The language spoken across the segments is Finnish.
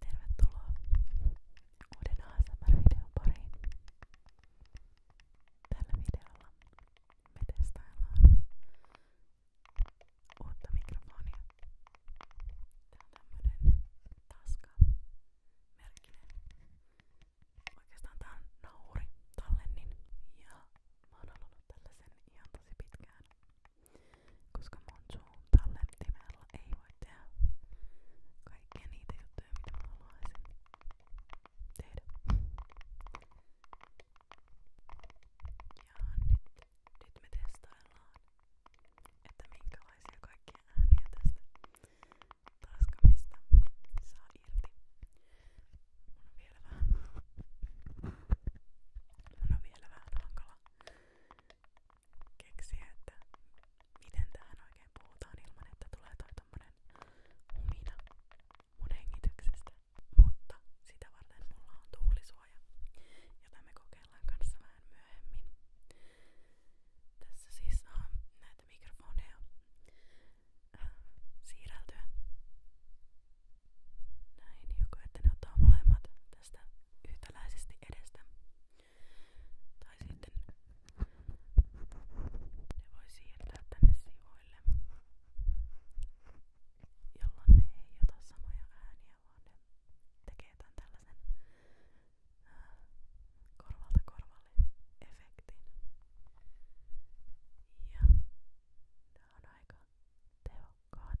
Tervetuloa uuden ASMR-videon pariin. Tällä videolla me testaillaan uutta mikrofonia. Tää on tämmönen taska merkkinen. Oikeastaan tää on nauri tallennin ja mä oon halunnut tällaisen ihan tosi pitkään. Koska mun suun tallentimella mulla ei voi tehdä kaikkia niitä juttuja, mitä mä haluaisin tehdä. Ja nyt, nyt me testaillaan, että minkälaisia kaikkia ääniä tästä taskamista saa irti. Mun on vielä vähän, mun on vielä vähän hankala keksiä, että miten tähän oikein puhutaan ilman, että tulee toi tommonen humina mun hengityksestä. Mutta sitä varten mulla on tuulisuoja, jota me kokeillaan kanssa vähän myöhemmin. Tässä siis on näitä mikrofoneja äh, siirreltyä. Näin, joko että ne ottaa molemmat tästä yhtäläisesti edestä. Tai sitten ne voi siirtää tänne sivuille, jolloin ne ei ota samoja ääniä, vaan ne tekee tämän tällaisen äh, korvalta korvalle efektin. Ja nämä on aika tehokkaat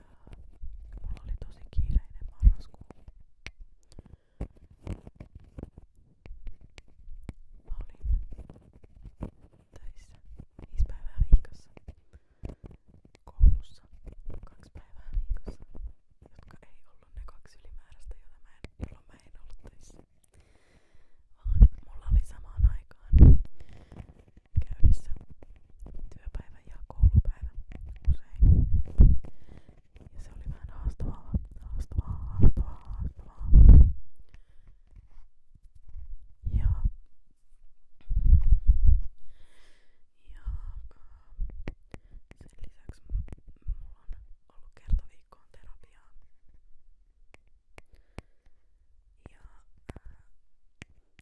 Mulla oli tosi kiireinen marraskuu. Mä olin töissä viisi päivää viikossa. Koulussa kaksi päivää viikossa, jotka ei ollut ne kaksi ylimääräistä, jota mä en, jolloin mä en ollut töissä. Vaan mulla oli samaan aikaan käynnissä työpäivä ja koulupäivä usein. Ja se oli vähän haastavaa, haastavaa, haastavaa, haastavaa. Ja, ja sen lisäksi mulla on ollut kertaviikkoon terapiaa. Ja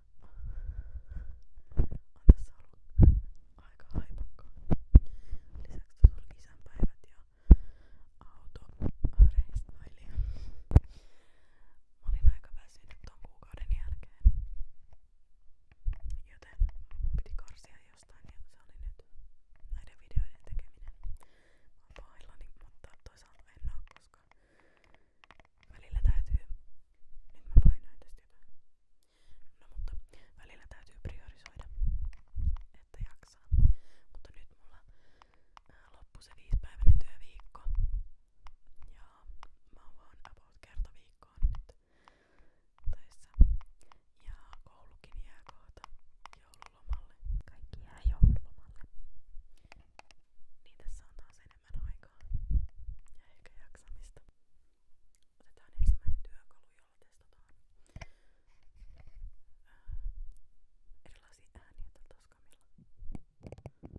on tässä ollut aika haipakkaa. Lisäksi tässä oli isänpäivät ja autoreistaili. Mä olin aika väsynyt ton kuukauden jälkeen, joten mun piti karsia jostain ja se oli nyt näiden videoiden tekeminen. Mä oon pahoillani, mutta toisaalta en oo, koska Välillä täytyy... Nyt mä painoin tästä jotain. No mutta välillä täytyy priorisoida, että jaksaa. Mutta nyt mulla äh, loppui se viisipäiväinen työviikko. Ja mä oon vaan about kerta viikkoon nyt töissä. Ja koulukin jää kohta joululomalle. Kaikki jää joululomalle. Niin tässä on taas enemmän enemmän aikaa ja ehkä jaksamista. Otetaan ensimmäinen työkalu, jolla testataan äh, erilaisia ääniä tällä taskamilla. Okei,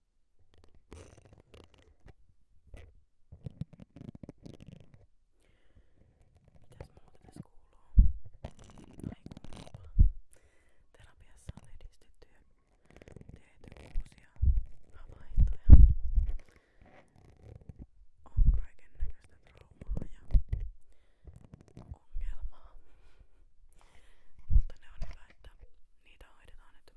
Mitäs muuta tässä kuuluu? Ei kuulu Terapiassa on edistetty tehty uusia havaintoja. On kaiken näköistä traumaa ja ongelmaa. Mutta ne on hyvä, että niitä hoidetaan nyt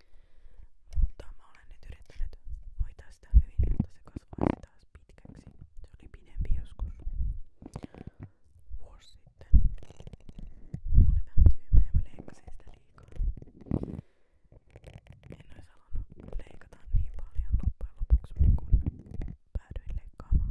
Mutta mä olen nyt yrittänyt hoitaa sitä hyvin, jotta se kasvaisi taas pitkäksi. Se oli pidempi joskus vuosi sitten. Mulla oli vähän tyhmä ja mä leikkasin sitä liikaa. En ois halunnut leikata niin paljon loppujen lopuksi, kun päädyin leikkaamaan.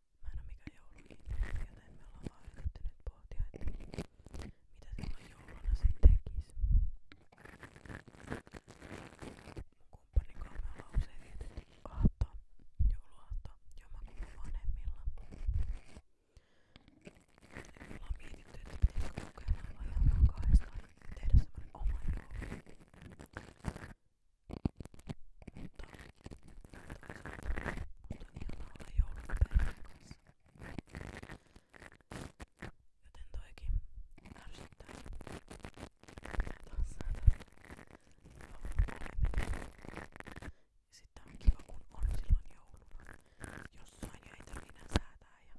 Mä en oo mikään joulukiinteinen, joten me ollaan vaan yritetty nyt pohtia, että mitä silloin jouluna se tekis. Mun kumppanin kanssa me ollaan usein vietetty aattoa, jouluaattoa, jommakumman vanhemmilla. Ja me ollaan mietitty, että pitäisikö kokeilla vaan ihan vaan kahdestaan tehdä semmonen oma joulu. Mutta, mutta on ihana olla jouluperheen kanssa. Joten toikin ärsyttää. Taas ja sitten on kiva kun on silloin jouluna. Jossain jo ei tarvitse säätää ja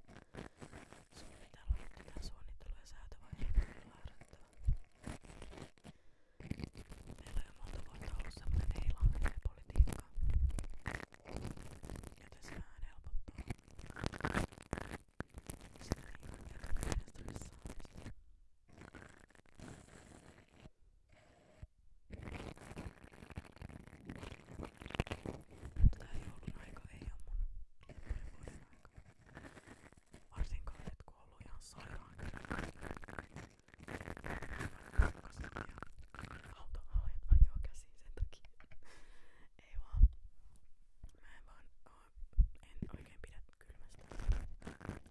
suunnitella, suunnittelu ja säätövaihe on Meillä on jo monta vuotta ollut semmoinen ei politiikka. Joten se vähän helpottaa. Sitä ei Tää joulun aika ei oo mun lempivuoden aika. Varsinkaan nyt kun on ollut ihan sairaan. Auto ajoo käsiin sen takia. Ei vaan. Mä en vaan oo, en oikein pidä kylmästä.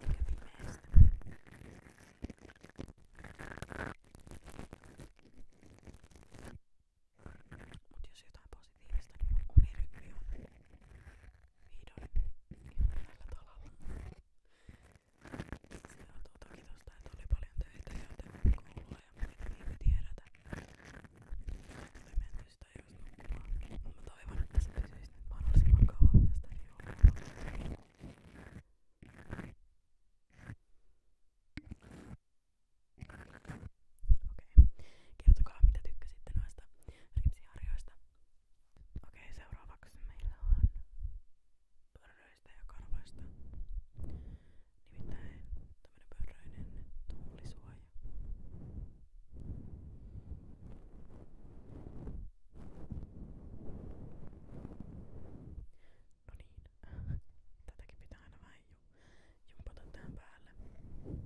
Eikä pimeästä. Mut jos jotain positiivista, niin mun unirytmi on vihdoin hyvällä talalla. Se johtuu tuota, toki tosta, että oli paljon töitä ja joten koulua ja muita niin piti herätä. Tuli menty sitä just nukkumaan. Mä toivon, että se pysyisi nyt mahdollisimman kauan myös tämän joulun. Okei, okay. kertokaa mitä tykkäsitte noista ripsiharjoista. Okei, seuraavaksi meillä on pörröistä ja karvoista. Nimittäin tämmönen pörröinen tuulisuoja. No niin, tätäkin pitää aina vähän jumpata tähän päälle. Okei,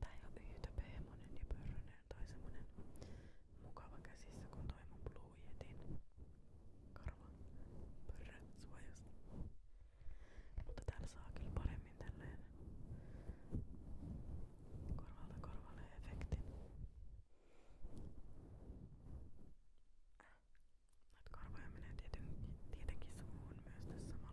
Tää ei oo yytöpehmonen ja pörrönen tai semmonen mukava käsissä kun toi mun Blue Yetin karva pörrö suojasta. Mutta täällä saa kyllä paremmin tälleen korvalta korvalle efektin. Näitä karvoja menee tietenkin, tietenkin suuhun myös tässä samalla.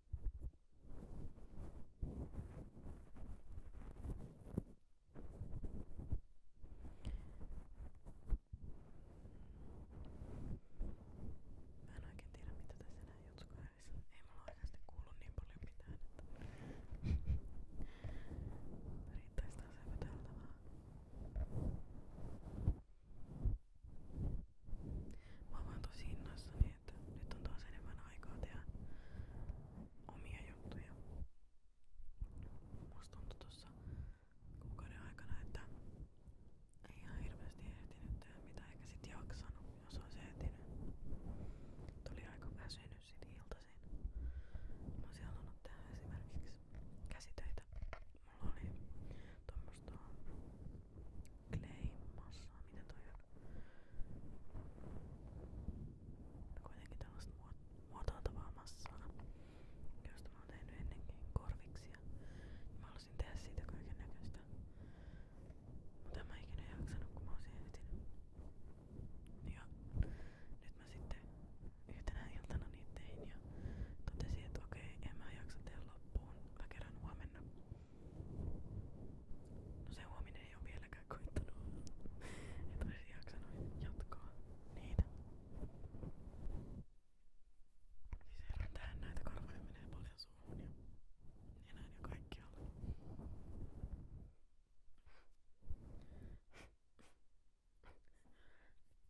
Mä en oikein tiedä mitä tässä näin jutsukaarissa. Ei mulla oikeasti kuulu niin paljon mitään, että riittäis taas epäteltävää. Mä oon vaan tosi innoissani niin että nyt on taas enemmän aikaa tehdä omia juttuja. Musta tuntui tuossa kuukauden aikana, että ei ihan hirveästi ehtinyt tehdä mitä eikä sit jaksanut, jos olisi ehtinyt. Tuli aika väsynyt sit iltaisin. Mä olisin halunnut tehdä esimerkiksi käsitöitä. Mulla oli tuommoista clay massaa, mitä toi on? Kuitenkin tällaista muotoiltavaa massaa, josta mä oon tehnyt ennenkin korviksia. Mä halusin tehdä siitä kaiken näköistä. Mutta en mä ikinä jaksanut, kun mä oon ehtinyt. Ja nyt mä sitten yhtenä iltana niitä tein ja totesin, että okei, en mä jaksa tehdä loppuun. Mä kerran huomenna. No se huominen ei ole vieläkään koittanut. Et olisi jaksanut jatkaa niitä. Siis herran tähän näitä karvoja menee paljon suuhun ja nenään ja kaikkialla.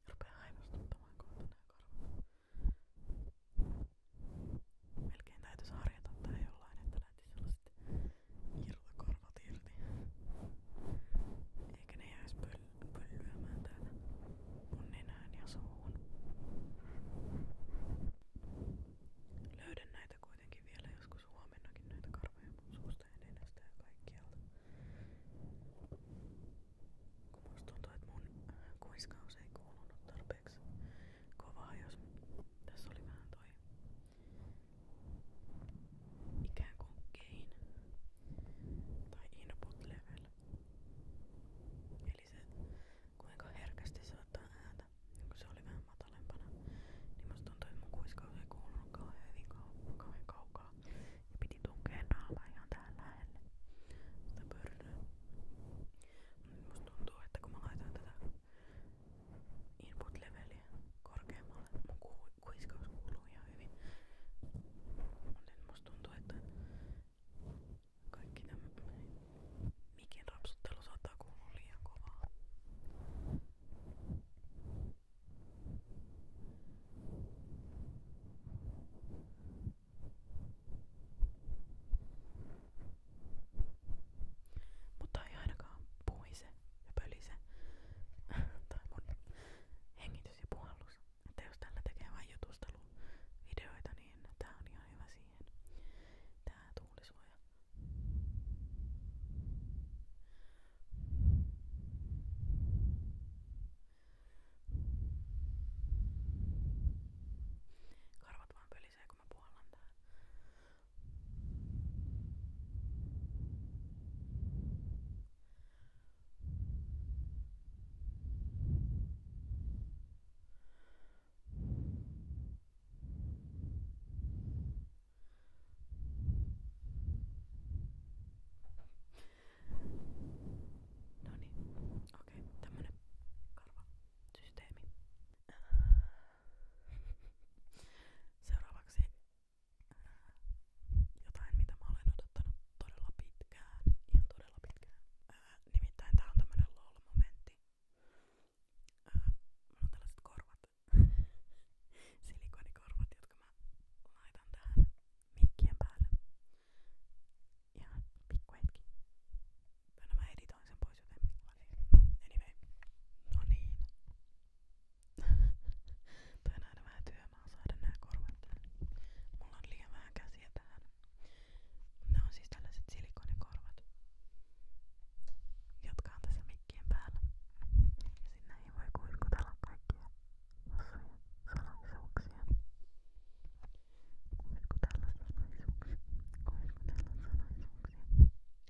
Rupee haivastuttamaan kohta nää karvat. Melkein täytyisi harjata tai jollain, että lähtisi sellaiset irtokarvat irti. Eikä ne jäisi pöl- pöllyämään täällä mun nenään ja suuhun. Löydän näitä kuitenkin vielä joskus huomennakin näitä karvoja mun suusta ja nenästä ja kaikkialta. Kun musta tuntuu, että mun kuiskaus ei kuulunut tarpeeksi kovaa, jos tässä oli vähän toi ikään kuin gain tai input level. Eli se kuinka herkästi se ottaa ääntä. Kun se oli vähän matalempana, niin musta tuntui, että mun kuiskaus ei kuulunut kauhean hyvin kauhean kaukaa. Ja piti tunkea naama ihan tähän lähelle. Sitä pörröä. Musta tuntuu, että kun mä laitan tätä input-leveliä korkeammalle. Mun ku kuiskaus kuuluu ihan hyvin. Muuten musta tuntuu, että kaikki tämä mikin rapsuttelu saattaa kuulua liian kovaa. Mutta ei ainakaan puise ja pölise. tai mun hengitys ja puhallus. Että jos tällä tekee vain jutusteluvideoita, niin tää on ihan hyvä siihen. Tää tuulisuoja. Karvat vaan pöli haisee kun mä puhallan tähän. No niin, okei, okay, tämmönen karva systeemi. Seuraavaksi äh, jotain, mitä mä olen odottanut todella pitkään, ihan todella pitkään. Ää, äh, nimittäin tää on tämmönen LOL-momentti. Ää, äh, mulla on tällaiset korvat, silikonikorvat, jotka mä laitan tähän mikkien päälle. Ihan pikku hetki. No mä editoin sen pois joten millainen. No, anyway. No niin. Toi on aina vähän työmaa saada nää korvat tähän. Mulla on liian vähän käsiä tähän. Nämä on siis tällaiset silikonikorvat, jotka on tässä mikkien päällä. Ja sinne ei voi kuiskutella kaikkia hassuja salaisuuksia. Kuiskutella salaisuuksia. Kuiskutella salaisuuksia.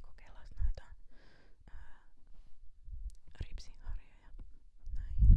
Kokeillaan näitä ää, ripsiharjoja. Näin.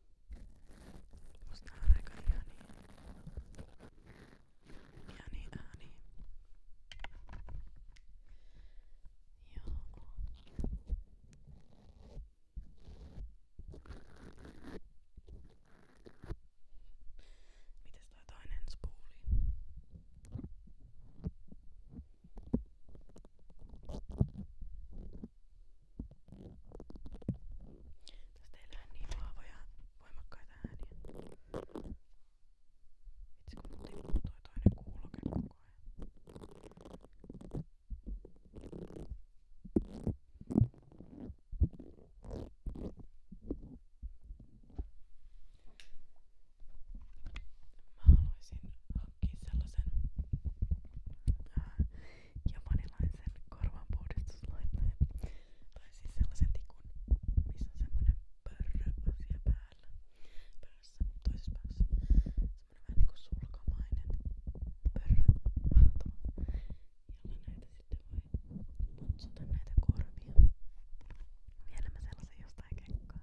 Musta on aika ihani. Ihani ääni. Joo. Mites toi toinen spooli? Joo. Tässä teillä on niin vahvoja, voimakkaita ääniä. Vitsi kun mut tippuu toi toinen kuuloke koko ajan. Mä haluaisin hankkia sellaisen äh, ja manilaisen korvanpuhdistuslaitteen. Tai siis sellaisen tikun, missä on semmonen pörrö asia päällä. Päässä, toisessa päässä. Semmonen vähän niinku sulkamainen pörrö. Mahtava. Jolla näitä sitten voi putsata näitä korvia. Vielä mä sellasen jostain kekkaan.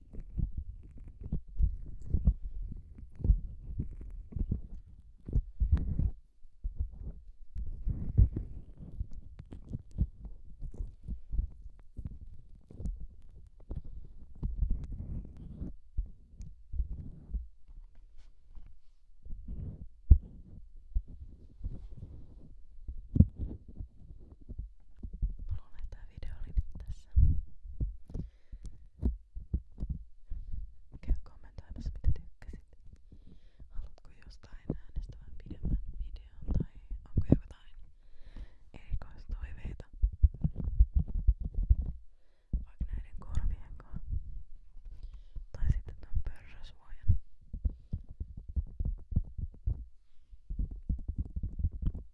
Mä luulen, että tää video oli nyt tässä. Käy kommentoimassa mitä tykkäsit. Haluatko jostain äänestävän pidemmän videon tai onko jotain erikoistoiveita? Vaikka näiden korvien kanssa. Tai sitten ton pörrösuojan.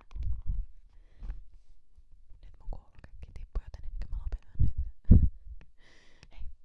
mitään. Nyt mun kuuluu kaikki tippu, joten ehkä mä lopetan nyt. Heippa!